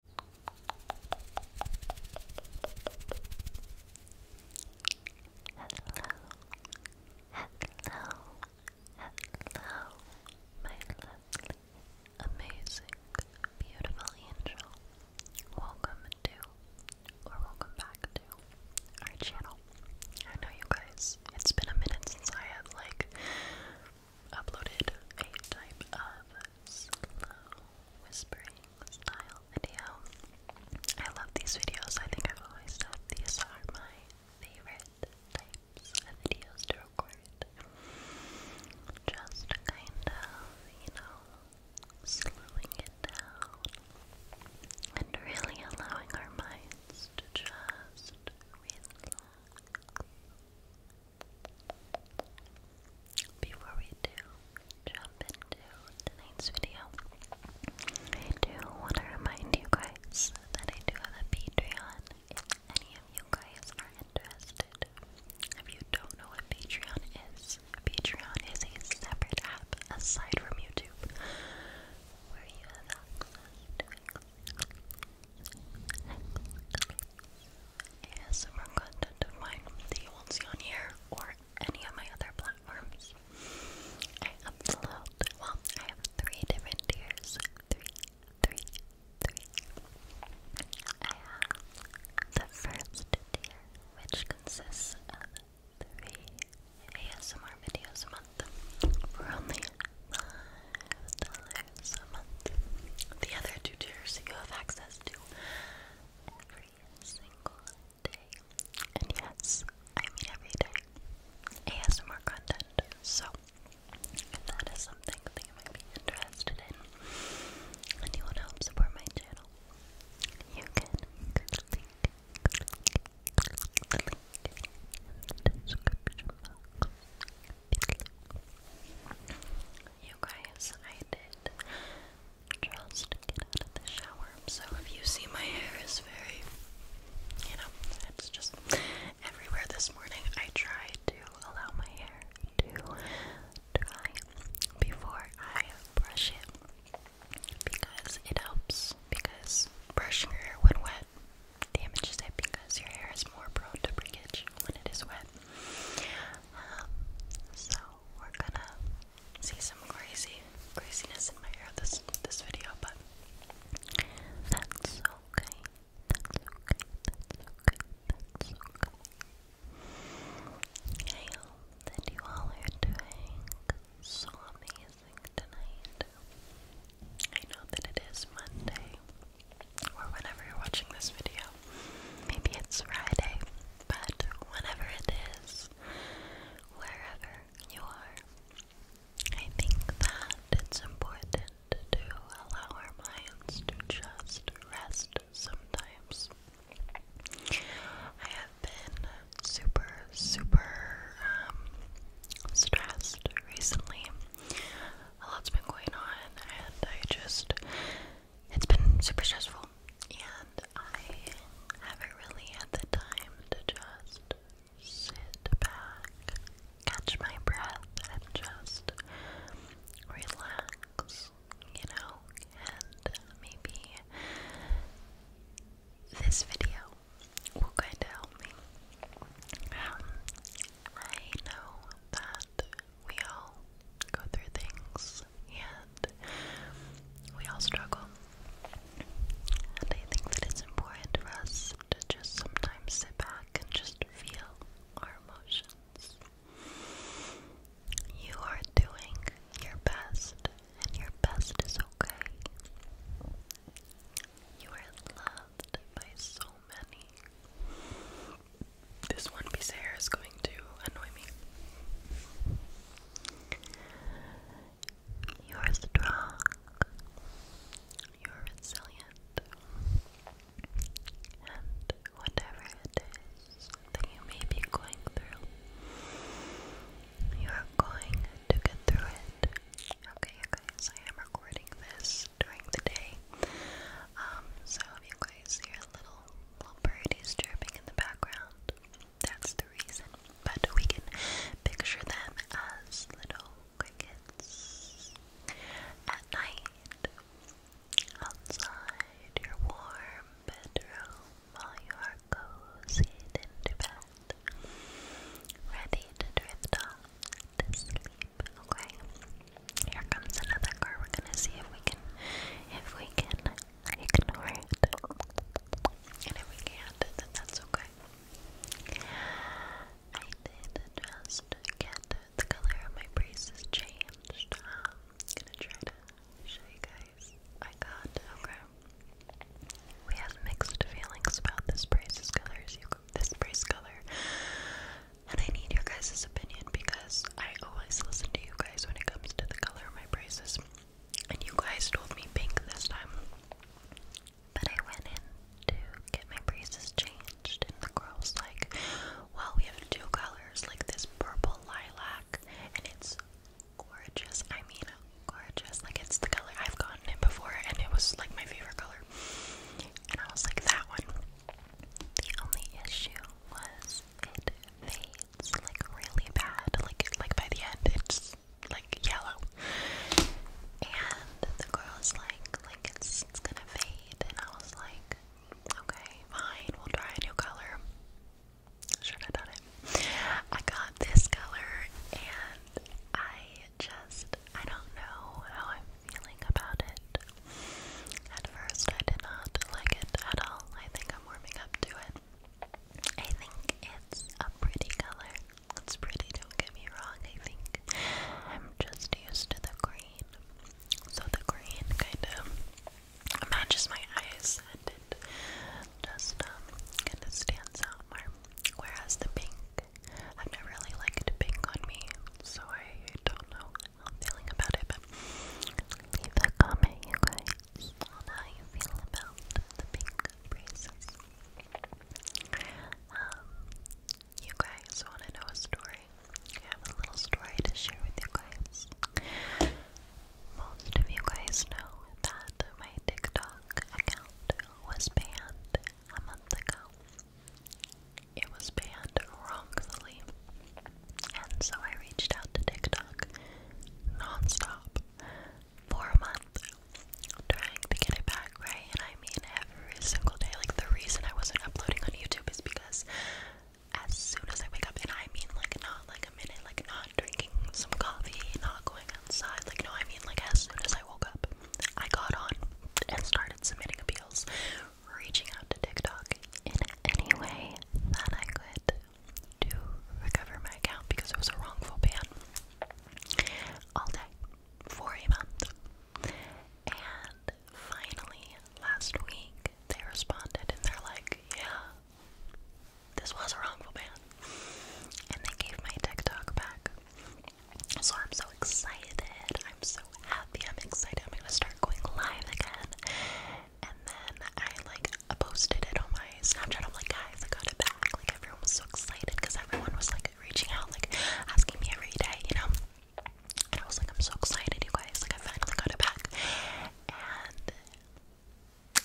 hello, hello, my lovely, amazing, beautiful angel. Welcome to, or welcome back to, our channel. I know you guys, it's been a minute since I have like uploaded a type of slow whispering style video. I love these videos. I think I've always thought these are my favorite types of videos to record. Just kind of, you know, slowing it down and really allowing our minds to just relax. Relax, relax, relax, before we do jump into tonight's video, I do want to remind you guys that I do have a Patreon if any of you guys are interested. If you don't know what Patreon is, Patreon is a separate app aside from YouTube ASMR content of mine that you won't see or any of my other platforms. I upload, well, I have three different tiers. Three, three, three. I have the first tier, which consists of three ASMR videos a month for only $5 times The other two tiers you have access to every single day. And yes, I mean every day. ASMR content. So if that is something that you might be interested in and you want to help support my channel, you can click, the link in the description box. You guys, I did just get out of the shower, so if you see my hair is very, you know, it's just everywhere this morning. I try to allow my hair to dry before I brush it because it helps. Because brushing your hair when wet damages it because your hair is more prone to breakage when it is wet so we're gonna see some crazy craziness in my hair this this video, but that's okay. That's okay. That's okay. That's okay. I hope that you all are doing so amazing tonight. I know that it is Monday or whenever you're watching this video. Maybe it's Friday, but whenever it is, wherever you are, I think that it's important to allow our minds to just rest sometimes. I have been super, super um, stressed recently a lot's been going on, and I just it's been super stressful, and I haven't really had the time to just sit back, catch my breath, and just relax, you know, and maybe this video will kind of help me. Um, I know that we all go through things and we all struggle. And I think that it's important for us to just sometimes sit back and just feel our emotions. You are doing your best, and your best is okay. You are loved by so this one piece of hair is going to annoy me. You are strong. You are resilient. And whatever it is that you may be going through, you are going to get through it. Okay, you I am recording this use during the day. Um, so if you guys hear little little birdies chirping in the background, that's the reason. But we can picture them as little crickets at night outside your warm bedroom while you are cozied into bed, ready to drift off Okay. Here comes another car. We're gonna see if we can if we can ignore it. And if we can then that's okay. I did just get the color of my braces changed. Um, gonna try to show you guys. I got okay. We have mixed feelings about this brace's colors. this brace color. And I need your guys' opinion because I always listen to you guys when it comes to the color of my braces. And you guys told me pink this time. But I went in to get my braces changed, and the girl's like, Well, we have two colors, like this purple lilac, and it's gorgeous. I mean, gorgeous. Like, it's the color I've gotten it before, and it was like my favorite color. And I was like, That one. The only issue was it fades like really bad. Like like by the end it's like yellow. And the girl's like like it's it's gonna fade and I was like, okay, fine, we'll try a new color. Sure, I got it. I got this color and I just I don't know how I'm feeling about it. At first, I did not like it at all. I think I'm warming up to it. I think it's a pretty color. It's pretty, don't get me wrong. I think I'm just used to the green. So the green kind of matches my eyes and it just um, kind of stands out more. Whereas the pink i have never really liked pink on me, so I don't know how I'm feeling about it, leave a comment, you guys, on how you feel about the pink braces. Um, you guys want to know a story? I have a little story to share with you guys. Most of you guys know that my TikTok account was banned a month ago. It was banned wrongfully, and so I reached out to TikTok nonstop for a month, trying to get it back right. And I mean, every single day. Like the reason I wasn't uploading on YouTube is because as soon as I wake up, and I mean, like not like a minute, like not drinking some coffee, not going outside. Like no, I mean, like as soon as I woke up, I got on and started submitting appeals reaching out to TikTok in any way that I could to recover my account because it was a wrongful ban all day for a month. And finally, last week, they responded and they're like, yeah, this was a wrongful ban. And they gave my TikTok back. So I'm so excited. I'm so happy. I'm excited. I'm gonna start going live again. And then I like posted it on my Snapchat. I'm like, guys, I got it back. Like everyone was so excited because everyone was like reaching out, like asking me every day, you know. And I was like, I'm so excited, you guys. Like I finally got it back. And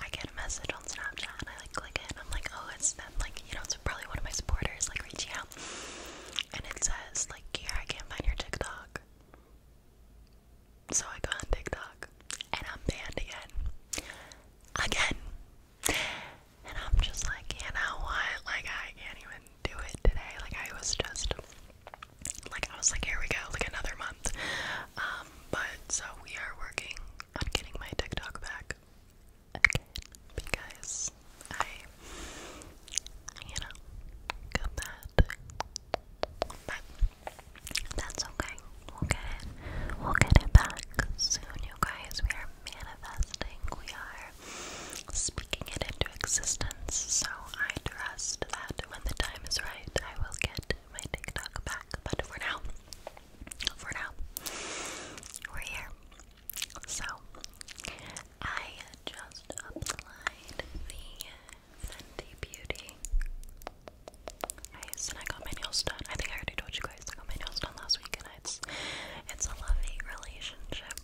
I get a message on Snapchat and I like click it and I'm like, oh, it's them, like, you know, it's probably one of my supporters like reaching out and it says like here I can't find your TikTok. So I go on TikTok and I'm banned again. Again. And I'm just like, you know what? Like I can't even do it today. Like I was just like I was like, here we go, like another month. Um, but so we are working on getting my TikTok back again because I, you know, got bad. But that's okay. We'll get it. We'll get it back soon, you guys. We are manifesting. We are speaking it into existence. So I trust that when the time is right, I will get my TikTok back. But for now, for now, we're here. So I just applied the Fenty Beauty. Nice, and I got my nails done. I think I already told you guys I got my nails done last week, and it's it's a love relationship.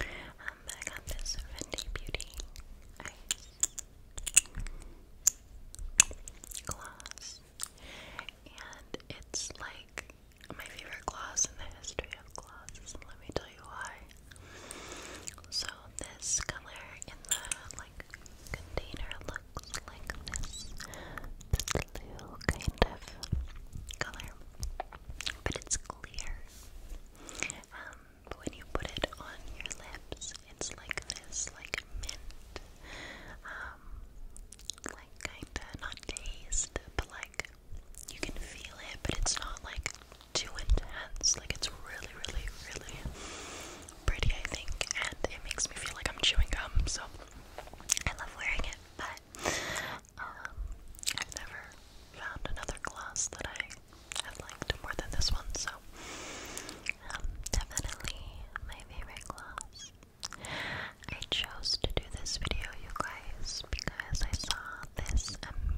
Um, I got this Fenty Beauty gloss, and it's like my favorite class in the history of classes, let me tell you why. So this color in the like container looks like this, this blue kind of color, but it's clear. Um, when you put it on your lips, it's like this, like mint. Um, like kinda not taste, but like you can feel it, but it's not like too intense. Like it's really, really, really pretty, I think, and it makes me feel like I'm chewing gum. So I love wearing it, but um, I've never found another gloss that I have liked more than this one. So um, definitely my favorite gloss. I chose to do this video, you guys, because I saw this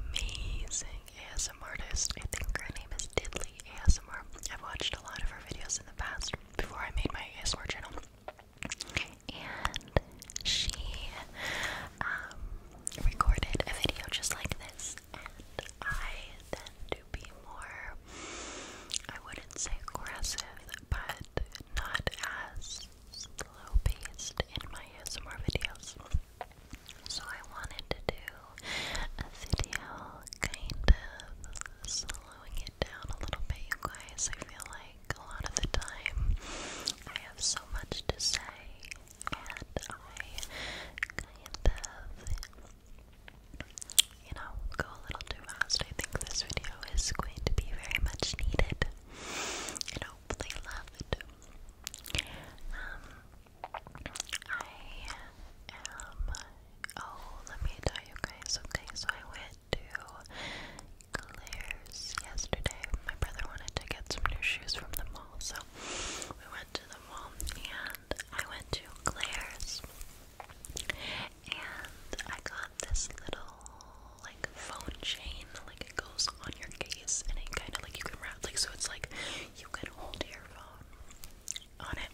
amazing ASM artist. I think her name is Diddley ASMR. I've watched a lot of her videos in the past before I made my ASMR channel. And she um, recorded a video just like this, and I tend to be more, I wouldn't say aggressive, but not as slow paced in my ASMR videos. So I wanted to do a video kind of slowing it down a little bit, you guys. I feel like a lot of the time I have so much to say and I kind of you know, go a little too fast. I think this video is going to be very much needed and hope they Um, I am. Oh, let me tell you guys. Okay, so I went to Claire's yesterday. My brother wanted to get some new shoes from the mall, so we went to the mall, and I went to Claire's, and I got this little like phone chain, like it goes on your case and it kind of like you can wrap, like so it's like you can hold your phone on it.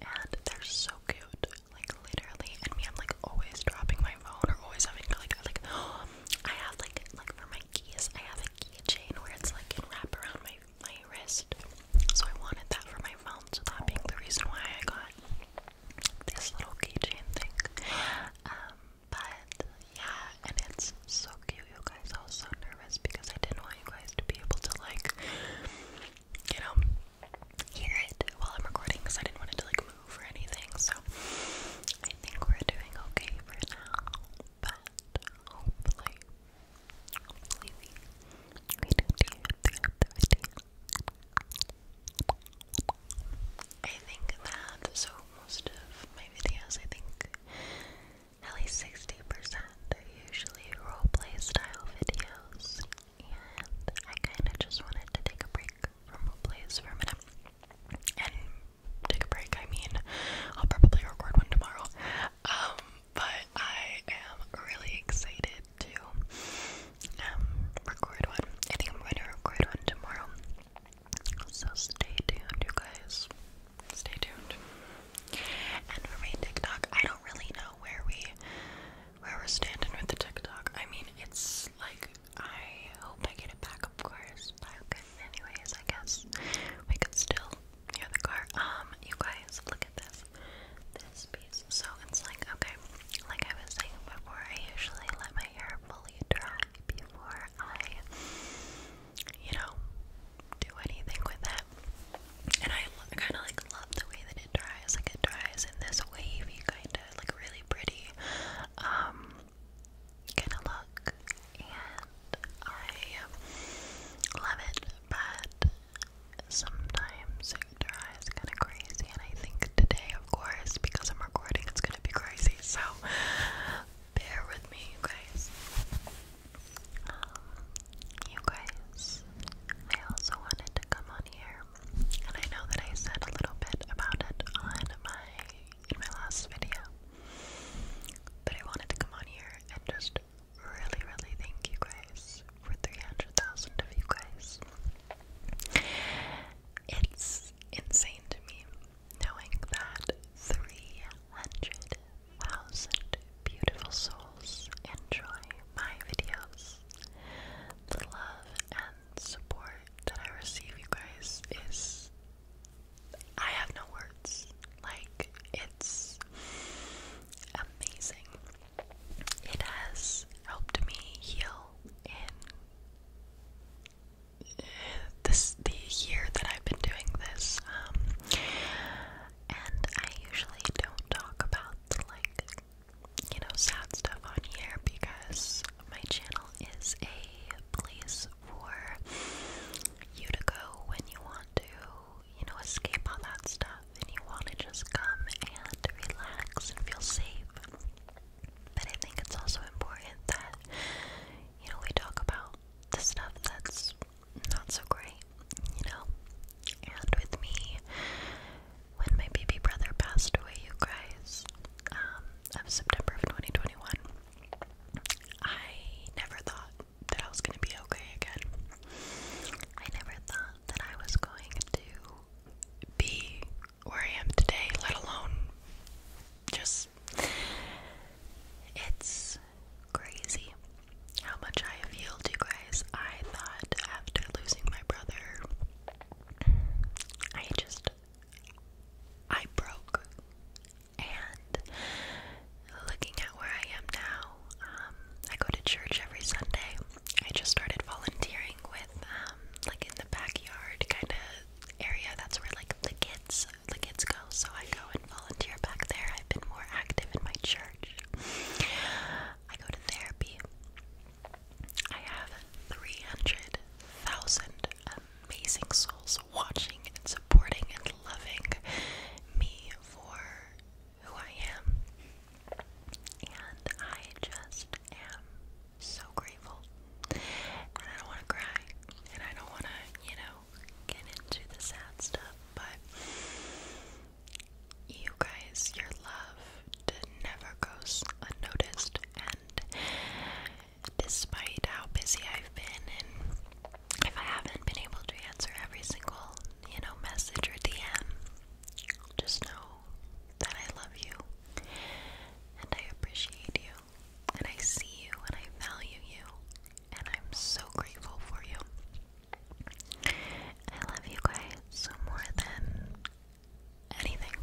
And they're so cute, like literally. And me, I'm like always dropping my phone or always having to like, like I have like like for my keys, I have a keychain where it's like can wrap around my my wrist. So I wanted that for my phone. So that being the reason why I got this little keychain thing. Um, but yeah, and it's so cute, you guys. I was so nervous because I didn't want you guys to be able to like, you know, hear it while I'm recording because I didn't want to like move or anything. So I think we're doing okay for now, but hopefully, hopefully we we do do the I think that, so most of my videos, I think at least 60% are usually roleplay style videos, and I kind of just wanted to take a break from roleplays for a minute. And take a break, I mean, I'll probably record one tomorrow. Um, but I am really excited to um, record one. I think I'm going to record one tomorrow. So stay tuned, you guys. Stay tuned. And for my TikTok, I don't really know where we where we're standing with the TikTok. I mean, it's like I hope I get it back, of course. But okay, anyways, I guess we could still hear the car. Um, you guys, look at this this piece. So it's like, okay, like I was saying before, I usually let my hair fully dry before I, you know, do anything with it. And I kind of like love the way that it dries. Like it dries in this wavy kind of like really pretty um, kind of look. And I love it, but sometimes and her kind of crazy. And I think today, of course, because I'm recording, it's gonna be crazy. So bear with me, guys. Um, you guys, I also wanted to come on here, and I know that I said a little bit about it on my in my last video, but I wanted to come on here and just really, really thank you guys for 300,000 of you guys. It's insane to me knowing that 300,000 beautiful souls enjoy my videos. The love and support that I receive, you guys, is. I have no words. Like, it's amazing. It has helped me heal in this the year that I've been doing this. Um, and I usually don't talk about like you know sad stuff on here because my channel is a place for you to go when you want to, you know, escape all that stuff and you want to just come and relax and feel safe. But I think it's also important that, you know, we talk about the stuff that's not so great, you know? And with me, when my baby brother passed away, you guys, um, of September of 2021, I never thought that I was going to be okay again. I never thought that I was going to be where I am today, let alone just. It's crazy how much I have healed, you guys. I thought after losing my brother, I just. I broke. And looking at where I am now, um, I go to church every Sunday. I just started volunteering with um, like in the backyard kind of area. That's where like the kids the kids go. So I go and volunteer back there. I've been more active in my church. I go to therapy. I have 300,000 amazing souls watching and supporting and loving me for who I am. And I just am so grateful. And I don't want to cry. And I don't want to, you know, get into the sad stuff. But you guys, your love never goes unnoticed. And despite how busy I've been, and if I haven't been able to answer every single, you know, message or DM, just know that I love you and I appreciate you and I see you and I value you and I'm so grateful for you. I love you guys more than anything.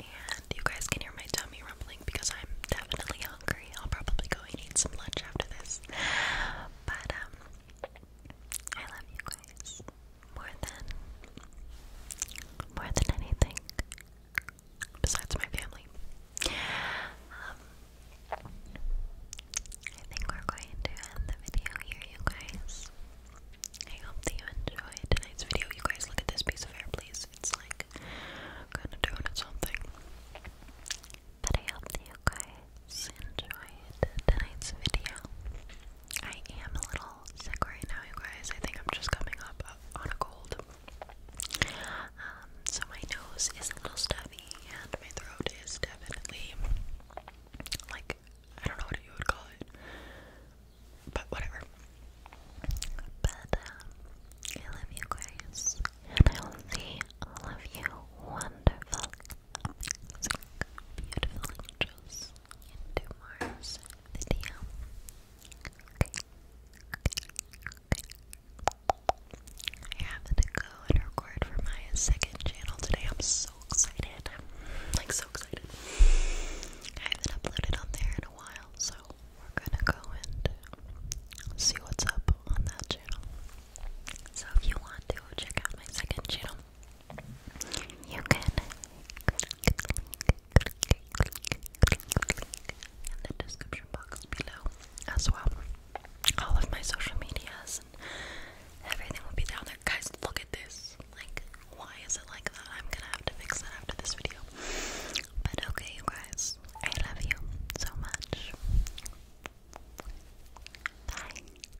And you guys can hear my tummy rumbling because I'm definitely hungry. I'll probably go and eat some lunch after this. But um, I love you guys more than more than anything besides my family. Um, I think we're going to end the video here, you guys. I hope that you enjoyed tonight's video. You guys look at this piece of hair, please. It's like kind of doing it something. But I hope you guys enjoyed tonight's video. I am a little sick right now, you guys. I think I'm just coming up on a cold. Um, so my nose is a little stuffy and my throat is definitely like I don't know what you would call it, but whatever. But um, I love you guys, and I will see all of you wonderful beautiful angels into Mars video. Okay. Okay. I happened to go and record for my second channel today. I'm so excited. I'm like so excited. I haven't uploaded on there in a while, so we're gonna go and see what's up on that channel. So if you want to check out my second channel, you can in the description box below as well. All of my social medias and everything will be down there. Guys, look at this. Like, why is it like that? I'm gonna have to fix that after this video. But okay, guys, I love you so much. Bye.